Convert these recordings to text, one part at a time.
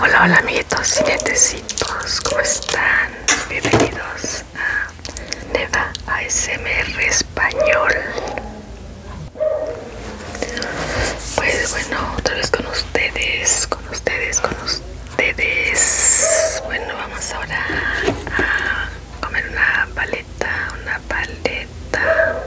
Hola, hola amiguitos y netecitos, ¿cómo están? Bienvenidos a Neva ASMR Español. Pues bueno, otra vez con ustedes, con ustedes, con ustedes. Bueno, vamos ahora a comer una paleta, una paleta.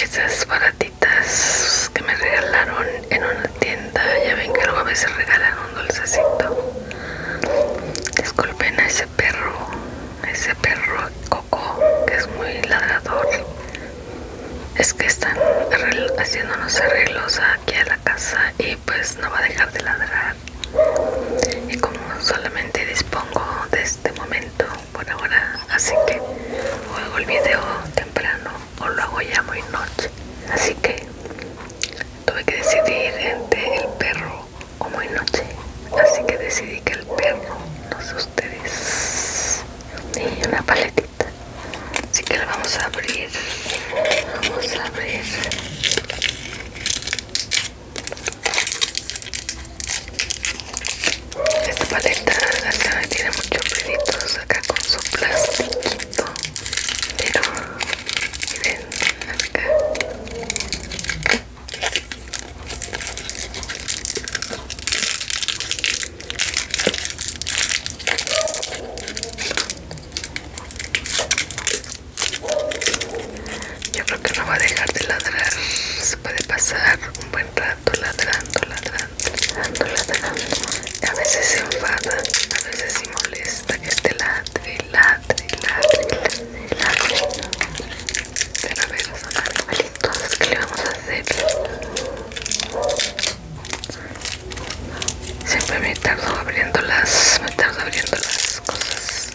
Esas baratitas que me regalaron en una tienda, ya ven que luego a veces regalan un dulcecito. Disculpen a ese perro, ese perro coco que es muy ladrador. Es que están haciéndonos arreglos aquí a la casa y pues no va a dejar de ladrar y como solamente dispongo de este momento por ahora así que o hago el video temprano o lo hago ya muy noche así que tuve que decidir entre el perro o muy noche así que decidí que el perro no sé ustedes y una paletita así que la vamos a abrir vamos a abrir esta paleta tiene muchos pelitos acá con su plastiquito. Pero miren acá. Yo creo que no va a dejar de ladrar. Se puede pasar un buen rato ladrando, ladrando, ladrando, ladrando. A veces se enfada, a veces se molesta que ladre, ladre, ladre, ladre, Pero a ver, son ¿qué le vamos a hacer? Siempre me tardo abriéndolas, me tardo abriendo las cosas.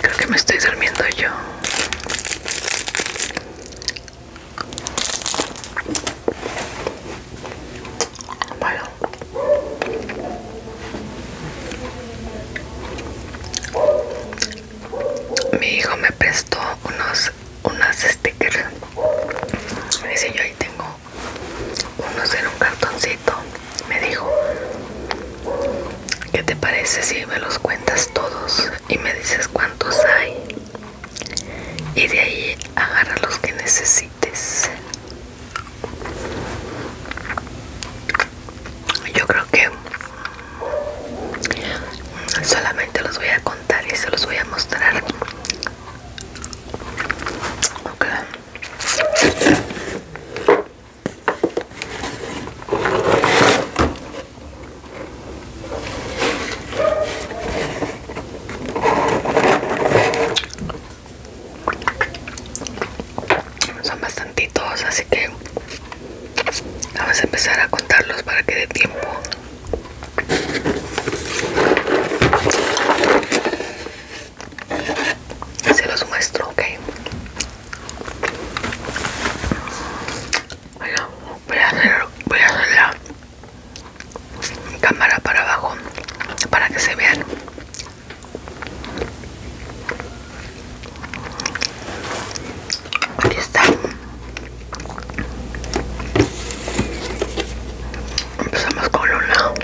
Creo que me estoy durmiendo yo. Mi hijo me prestó unos unas stickers. Y dice yo ahí tengo unos en un cartoncito. Me dijo, ¿qué te parece si me los cuentas todos y me dices cuántos hay? Y de ahí agarra los que necesites. Yo creo que solamente los voy a contar y se los voy a mostrar. Okay. Son bastantitos, así que vamos a empezar a contarlos para que dé tiempo. Se los muestro, ok. voy a hacer, voy a hacer la cámara para abajo para que se vean Aquí está. Empezamos con una.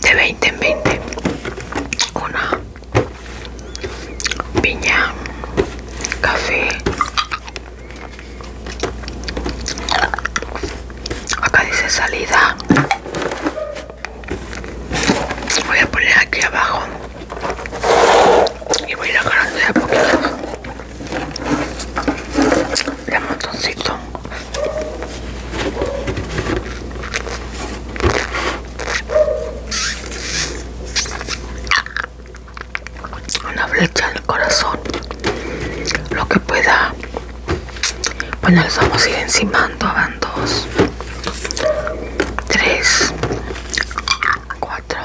de 20 en 20. Una piña, café, Acá dice salida. Voy a poner aquí abajo y voy a ir de a poquito. De montoncito una flecha en el corazón lo que pueda bueno les vamos a ir encimando van dos 3 4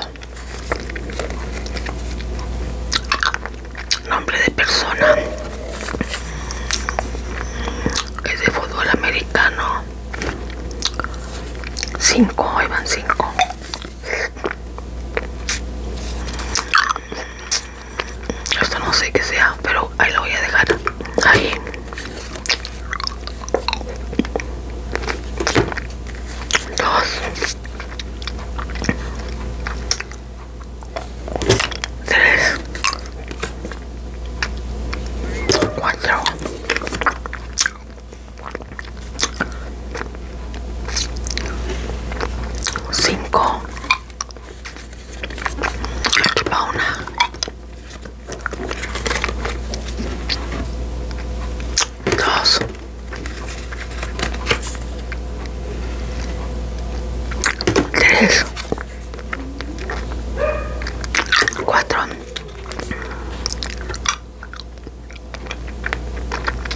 nombre de persona es de fútbol americano 5, ahí van 5 esto no sé qué sea, pero ahí lo voy a dejar. Ahí. Dos. Tres. Cuatro. Cinco. Aquí Dos. Tres. Cuatro. 5 una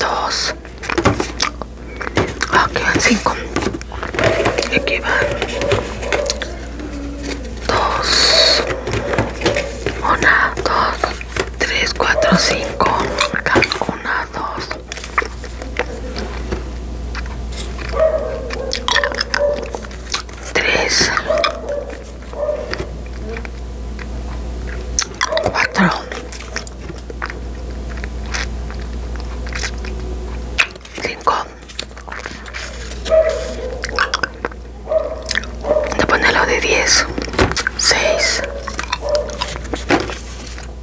dos aquí ah, van cinco aquí van dos una dos tres cuatro cinco dos tres, cuatro, cinco. De ponerlo de diez, seis.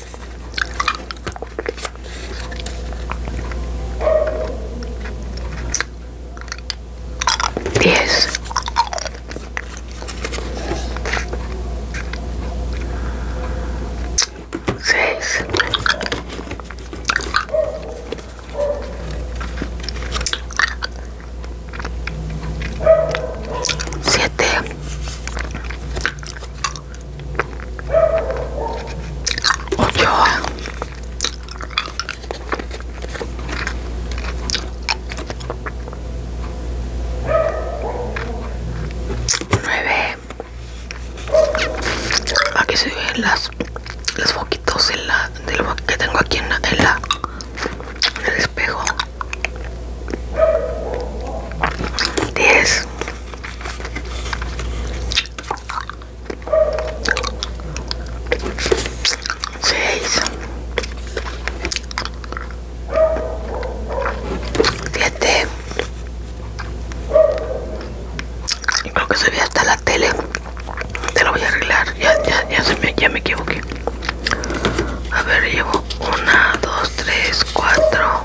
10 6 7 Ochoa. 9 Aquí se ven las los foquitos en la, del que tengo aquí en la, en la en el espejo. 10 6 7 Creo que se ve hasta la tele Te lo voy a arreglar Ya me equivoqué A ver, llevo 1, 2, 3, 4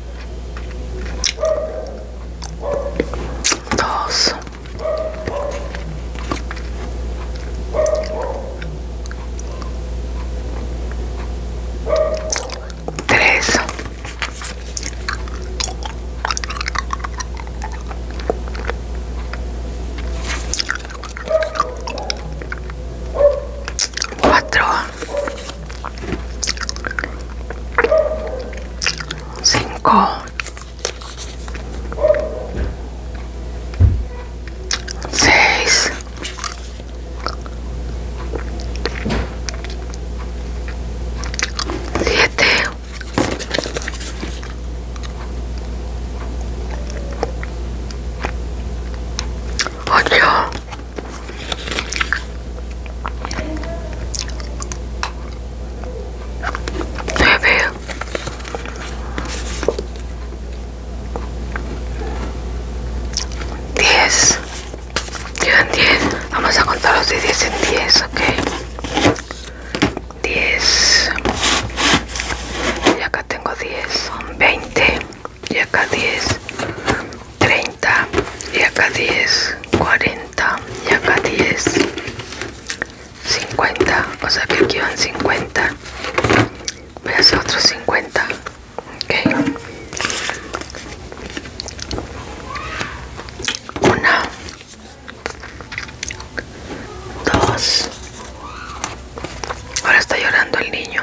dos tres cuatro cinco seis siete ocho 10. Quedan 10. Vamos a contar los de 10 en 10, ¿okay? 10. Y acá tengo 10, son 20. Y acá 10. 30 y acá 10 40 y acá 10 50 o sea que aquí van 50 voy a hacer otros 50 ok una dos ahora está llorando el niño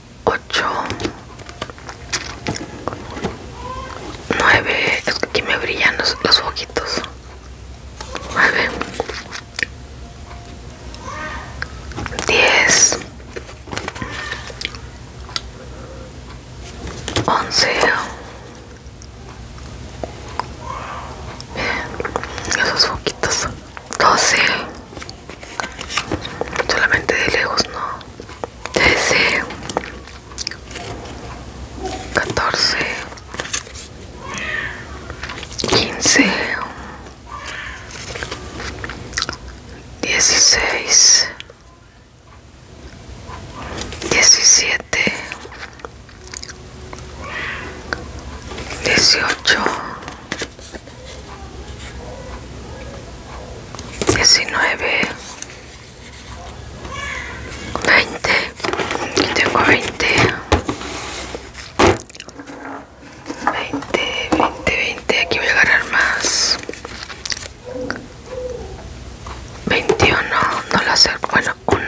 8 9 aquí me brillan los, los foquitos 9 10 11 esos foquitos 12 solamente de lejos no 13 14 15 16 17 18 19 20 tengo 20 20 20 20 aquí voy a agarrar más 21 no lo acerco bueno 1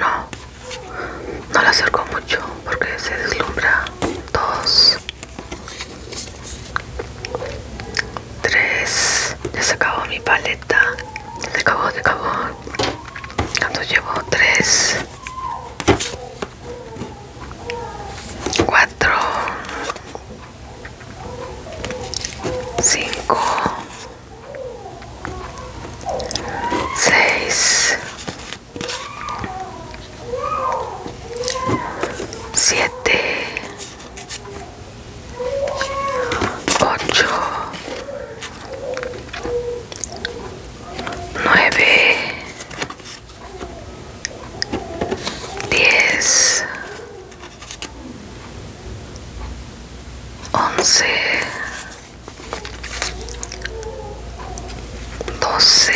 no lo acerco mucho porque se deslumbra 2 3 ya se acabó mi paleta se acabó se acabó cuando llevo 3 4 5 6 7 ocho, nueve, diez, once, doce.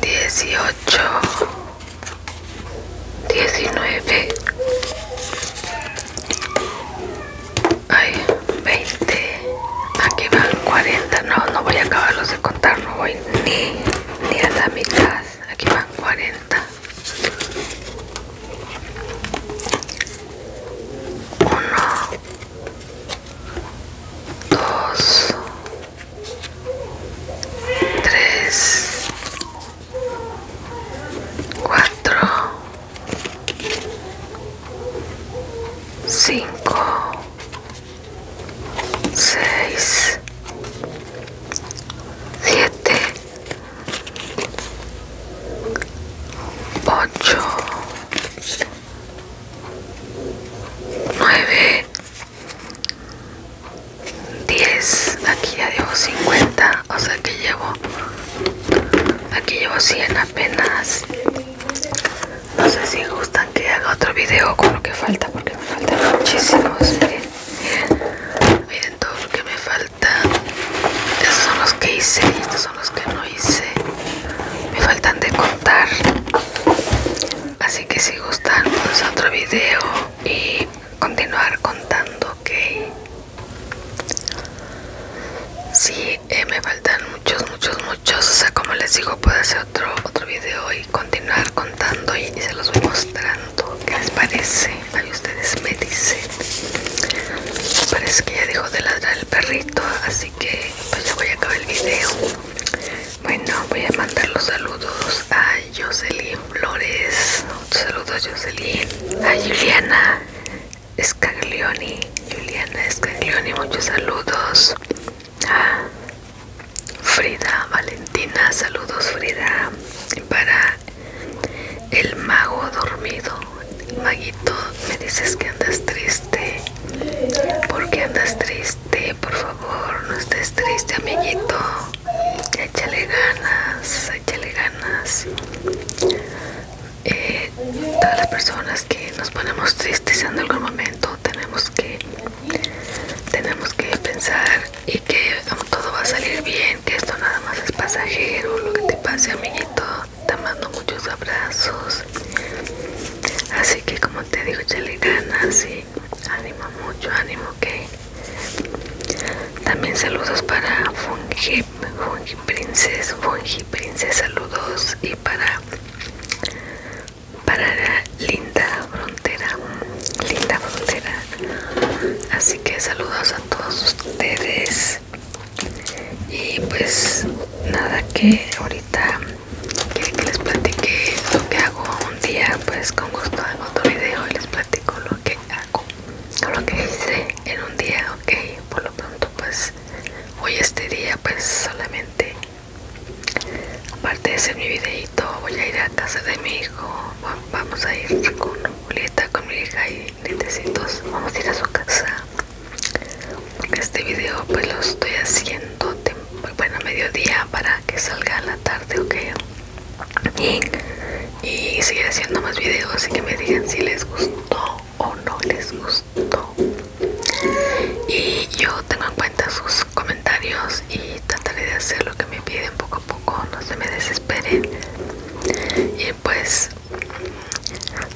18 19 20 aquí van 40 no, no voy a acabarlos de contar, no voy ni a dar mi clase aquí van 40 1 2 3, 4, 5, 6, 7, 8, 9, 10 aquí ya llevo 50 o sea que llevo aquí llevo 100 apenas no sé si gustan que haga otro video con lo que falta porque me faltan muchísimos miren, miren todo lo que me falta estos son los que hice y estos son los que no hice me faltan de contar Así que si gustan, hacer pues, otro video y continuar contando ok sí eh, me faltan muchos, muchos, muchos. O sea, como les digo, puedo hacer otro, otro video y continuar contando y, se los voy mostrando. ¿Qué les parece? Ahí ustedes me dicen. Parece que ya dejó de ladrar el perrito, así que pues ya voy a acabar el video. Bueno, voy a mandar los saludos a Jocelyn Flores. Saludos Jocelyn. A Juliana Escaglioni, Juliana Escaglioni, muchos saludos. A Frida Valentina, saludos Frida. Para el mago dormido. Maguito, me dices que andas triste. ¿Por qué andas triste? Este, por favor, no estés triste, amiguito. Échale ganas, échale ganas. Eh, todas las personas que nos ponemos tristes en algún momento tenemos que tenemos que pensar y que todo va a salir bien, que esto nada más es pasajero, lo que te pase amiguito, te mando muchos abrazos. Así que como te digo, échale ganas y ánimo, mucho ánimo, que también saludos para Fungi, Fungi Princess, Fungi Princess, saludos y para para la linda frontera, linda frontera. Así que saludos a todos ustedes y pues nada que ahorita que les platique lo que hago un día, pues con gusto hago otro video y les platico lo que hago o lo que hice en un día, ok. Por lo pronto, pues hoy este día, pues solamente, aparte de hacer mi videito, voy a ir a casa de mi hijo. vamos a ir con Julieta, con mi hija y lentecitos. Vamos a ir a su casa este video, pues lo estoy haciendo muy bueno mediodía para que salga la tarde ok y, y seguir haciendo más videos y que me digan si les gustó o no les gustó y yo tengo en cuenta sus comentarios y trataré de hacer lo que me piden poco a poco no se me desesperen y pues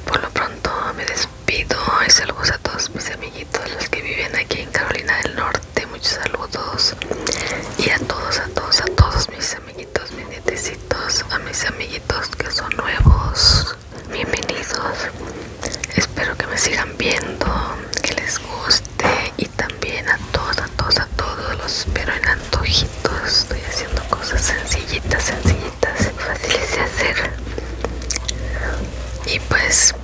por lo pronto me despido y saludos a todos mis amiguitos los que viven aquí en Carolina del Norte muchos saludos y a todos a todos a todos mis amiguitos mis nietecitos a mis amiguitos que son nuevos bienvenidos espero que me sigan viendo que les guste y también a todos a todos a todos los espero en antojitos estoy haciendo cosas sencillitas sencillitas fáciles de hacer y pues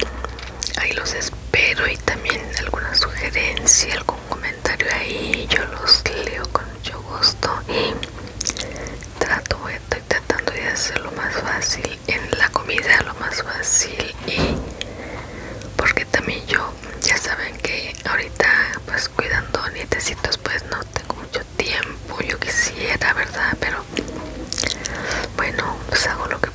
ahí los espero pero y también alguna sugerencia, algún comentario ahí, yo los leo con mucho gusto y trato, eh, estoy tratando de hacerlo lo más fácil en la comida, lo más fácil y porque también yo, ya saben que ahorita pues cuidando nietecitos pues no tengo mucho tiempo, yo quisiera, ¿verdad? Pero bueno, pues hago lo que